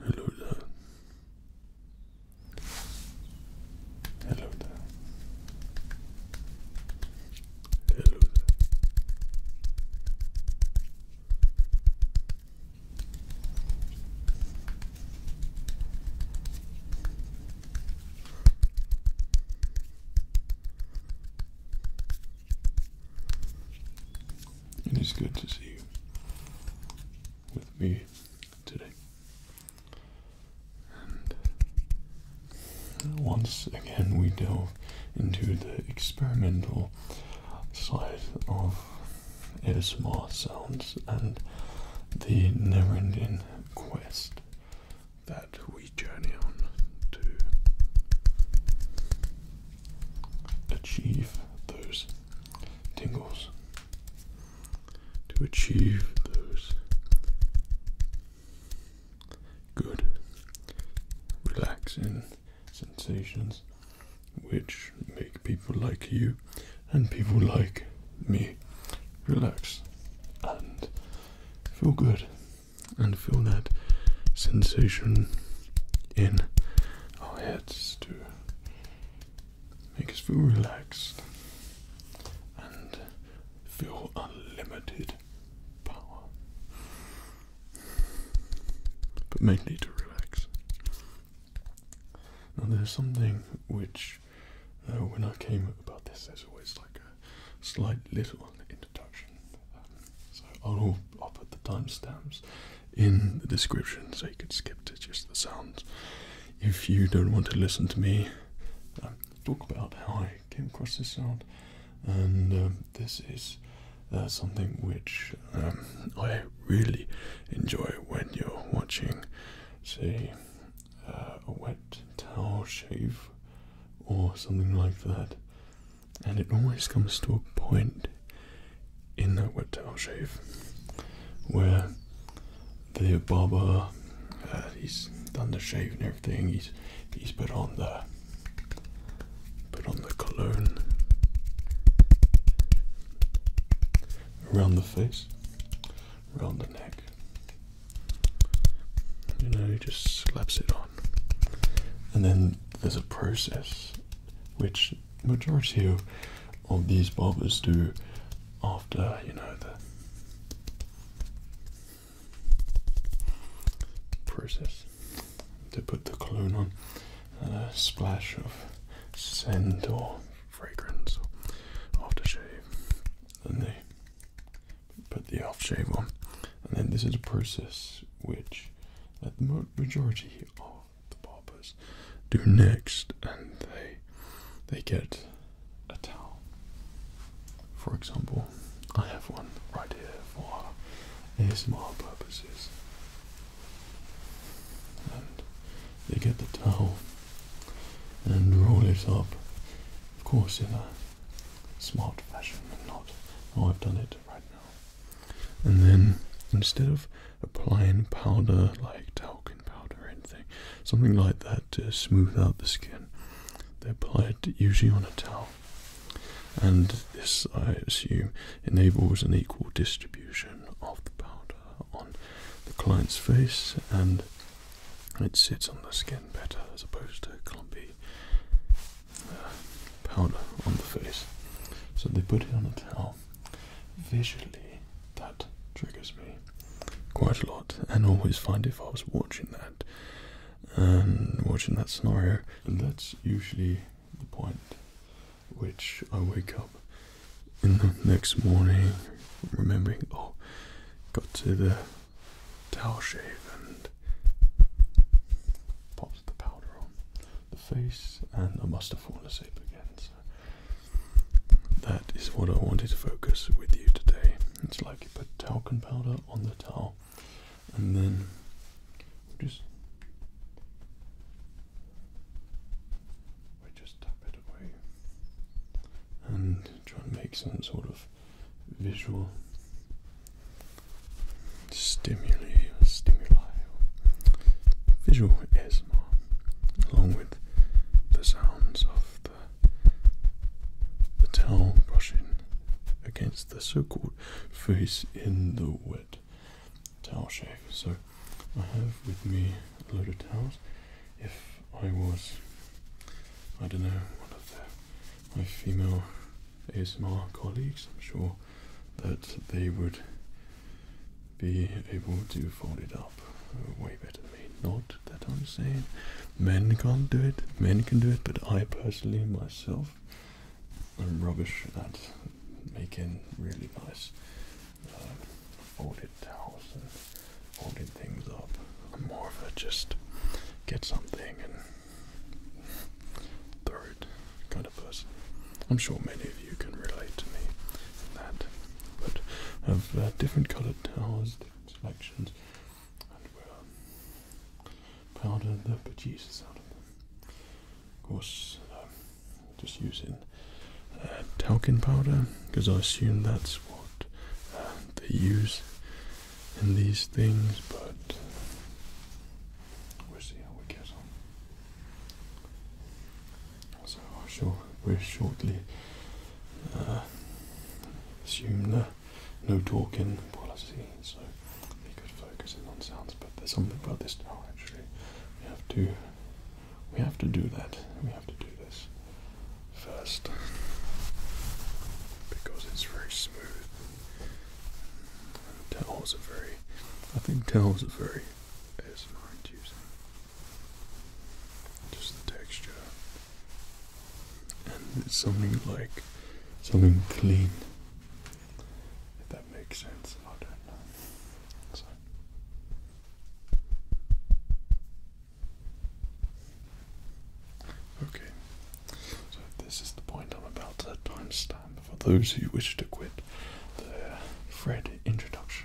Hello there. Hello there. Hello there. Hello there. It is good to see you with me today. Uh, once again, we delve into the experimental side of ASMR sounds and the never quest that we journey on to achieve those tingles, to achieve those good, relaxing sensations which make people like you and people like me relax and feel good and feel that sensation in our heads to make us feel relaxed and feel unlimited power, but mainly to relax. Now, there's something which uh, when I came about this, there's always like a slight little introduction. Um, so I'll, put the timestamps in the description so you can skip to just the sounds. If you don't want to listen to me um, talk about how I came across this sound, and um, this is uh, something which I really enjoy when you're watching, say, uh, a wet towel shave or something like that, and it always comes to a point in that wet towel shave where the barber uh, he's done the shave and everything he's he's put on the put on the cologne around the face around the neck you know, he just slaps it on. And then there's a process which majority of, of these barbers do after, you know, the process. to put the cologne on and a splash of scent or fragrance or aftershave and they put the off shave on. And then this is a process which the majority of the barbers do next, and they they get a towel. For example, I have one right here for small purposes, and they get the towel and roll it up, of course, in a smart fashion and not how oh, I've done it right now. And then instead of applying powder like talcum powder or anything, something like that to smooth out the skin, they apply it usually on a towel. And this, I assume, enables an equal distribution of the powder on the client's face and it sits on the skin better as opposed to clumpy uh, powder on the face. So they put it on the towel. Visually, that triggers me quite a lot, and always find if I was watching that and watching that scenario, that's usually the point which I wake up in the next morning remembering, oh, got to the towel shave and popped the powder on the face, and I must have fallen asleep again. So that is what I wanted to focus with you today. It's like you put talcum powder on the towel, and then just we just tap it and try and make some sort of visual stimuli visualism, along with the sounds of the the towel brushing against the so-called face in the wet towel shave. So I have with me a load of towels if I was, I don't know, one of the, my female ASMR colleagues, I'm sure that they would be able to fold it up way better than me. Not that I'm saying men can't do it, men can do it, but I personally, myself, I'm rubbish at making really nice. Uh, folded towels and folding things up. I'm more of a just get something and throw it kind of person. I'm sure many of you can relate to me that. But of uh, different coloured towels, different selections, and we'll powder the producers out of them. Of course, um, just using uh, talcum powder because I assume that's what uh, they use in these things, but we'll see how we get on. So I am sure we'll shortly uh, assume the no talking policy, so we could focus in on sounds. But there's something about this now. Actually, we have to we have to do that. We have to do this first because it's very smooth. And towels a very, I think towels a very ASMR inducing. Just the texture. And something like something clean. If that makes sense, I don't know. Okay, so this is the point I'm about to timestamp for those who wish to quit the Fred introduction.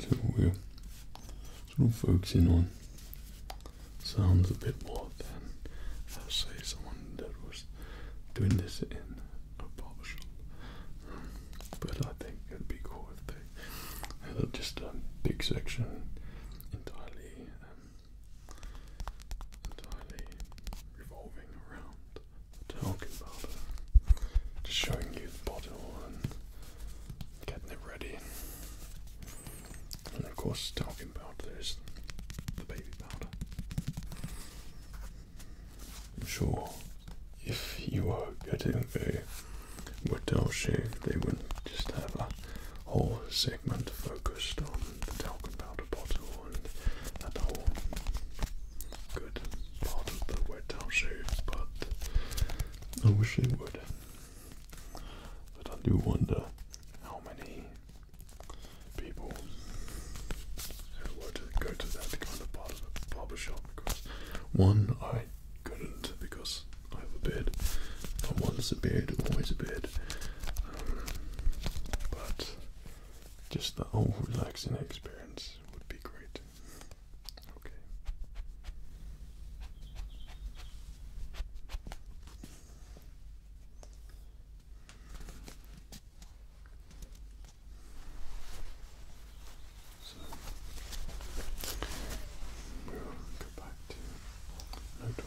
So we're sort of focusing on sounds a bit more than, I'll say, someone that was doing this in a barber but I think it'd be cool if they had just a big section entirely, um, entirely revolving around the talking powder, just showing you the bottle and getting it ready. And of course, talking about there's the baby powder. I'm sure if you were getting a wet Waddell shave, they wouldn't just have a whole segment focused on the talcum powder bottle and that whole good part of the wet Waddell shave, but I wish they would. But I do wonder how many people were go to that kind of part of a barber shop because one I couldn't because I have a beard. But once a beard, always a beard. Um, but just the whole relaxing experience would be great. Okay. So we'll go back to no talking.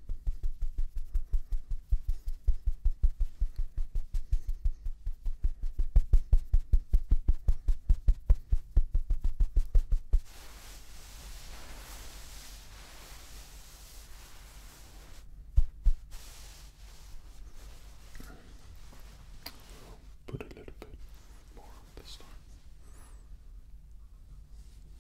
Put a little bit more on this time.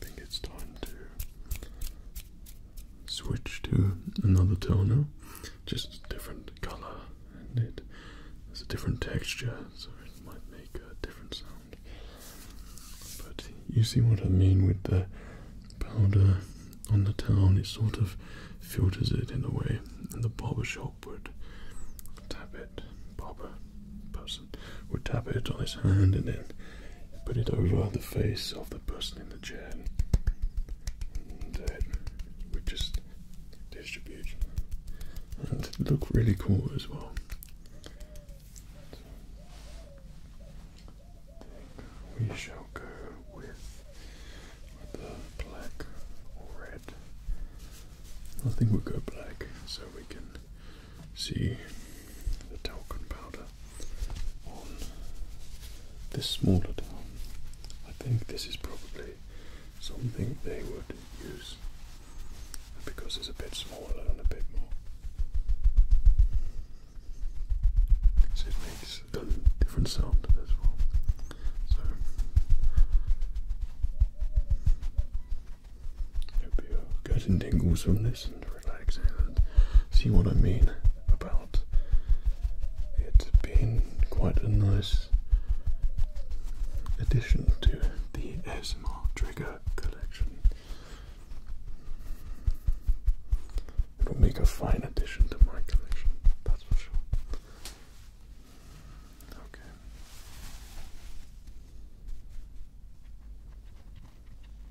I think it's time to switch to another toner, just a different color, and it has a different texture, so it might make a different sound. But you see what I mean with the powder on the towel. it sort of filters it in a way, and the barber shop would tap it, barber, we would tap it on his hand and then put it over the face of the person in the chair. We that just distribute and look really cool as well. We shall go with the black or red. I think we'll go black so we can see the talcum powder on this smaller town. I think this is probably something they would use because it's a bit smaller and a bit more. So it makes a different sound as well. Hope you're getting tingles from this and relaxing and see what I mean about it being quite a nice addition to the ASMR trigger collection. It will make a fine addition to my collection, that's for sure. Okay.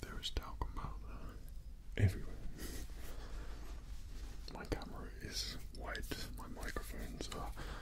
There is talcum powder everywhere. My camera is white, my microphones are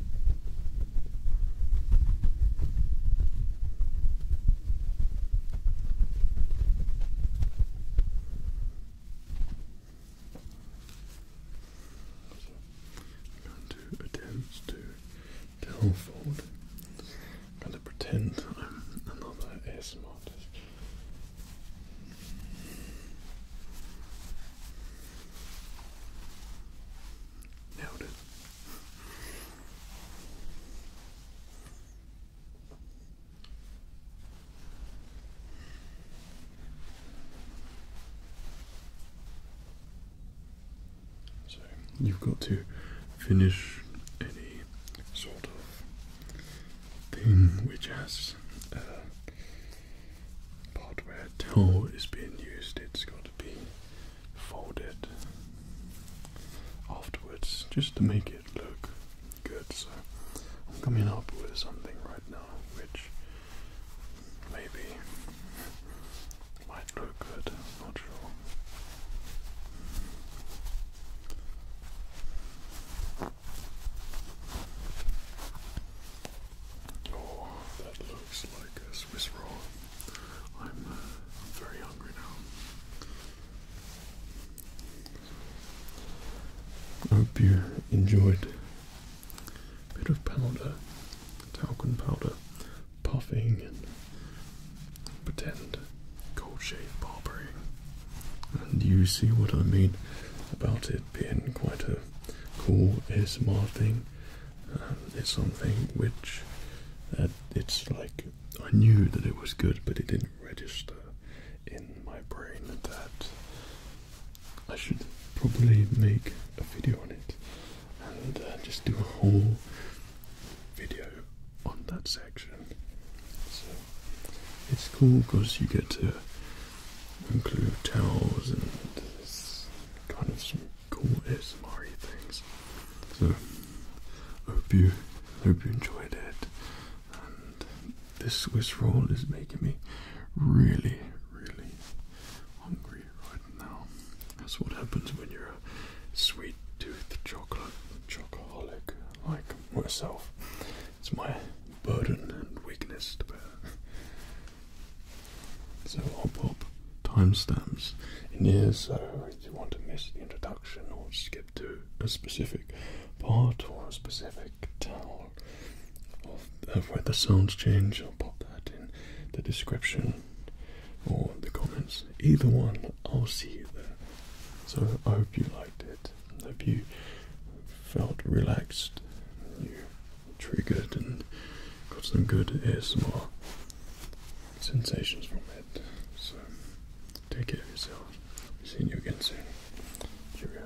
I'm going to attempt to tell forward. going to pretend I'm another ASMR artist. Nailed it. So you've got to finish any sort of thing which has a uh, part where towel is being used. It's got to be Fold it afterwards just to make it look good. So I'm coming up with something right now which maybe might look good, not sure. Oh, that looks like a Swiss roll. I'm, uh, very hungry now. I hope you enjoyed a bit of powder, talcum powder, puffing and pretend cold shave barbering. And you see what I mean about it being quite a cool ASMR thing um, something which uh, it's like I knew that it was good, but it didn't register in my brain that I should probably make a video on it and uh, just do a whole video on that section. So it's cool because you get to include towels and kind of some cool ASMR things. So hope you hope you enjoyed it. this Swiss roll is making me really, really hungry right now. That's what happens when you're a sweet tooth chocolate chocoholic like myself. It's my burden and weakness to bear. So I'll pop timestamps in here so if you want to miss the introduction or skip to a specific part or a specific tale of, where the sounds change, I'll pop that in the description or the comments. Either one, I'll see you there. So I hope you liked it. I hope you felt relaxed triggered and got some good ASMR sensations from it. So take care of yourself. i seeing you again soon. Cheerio.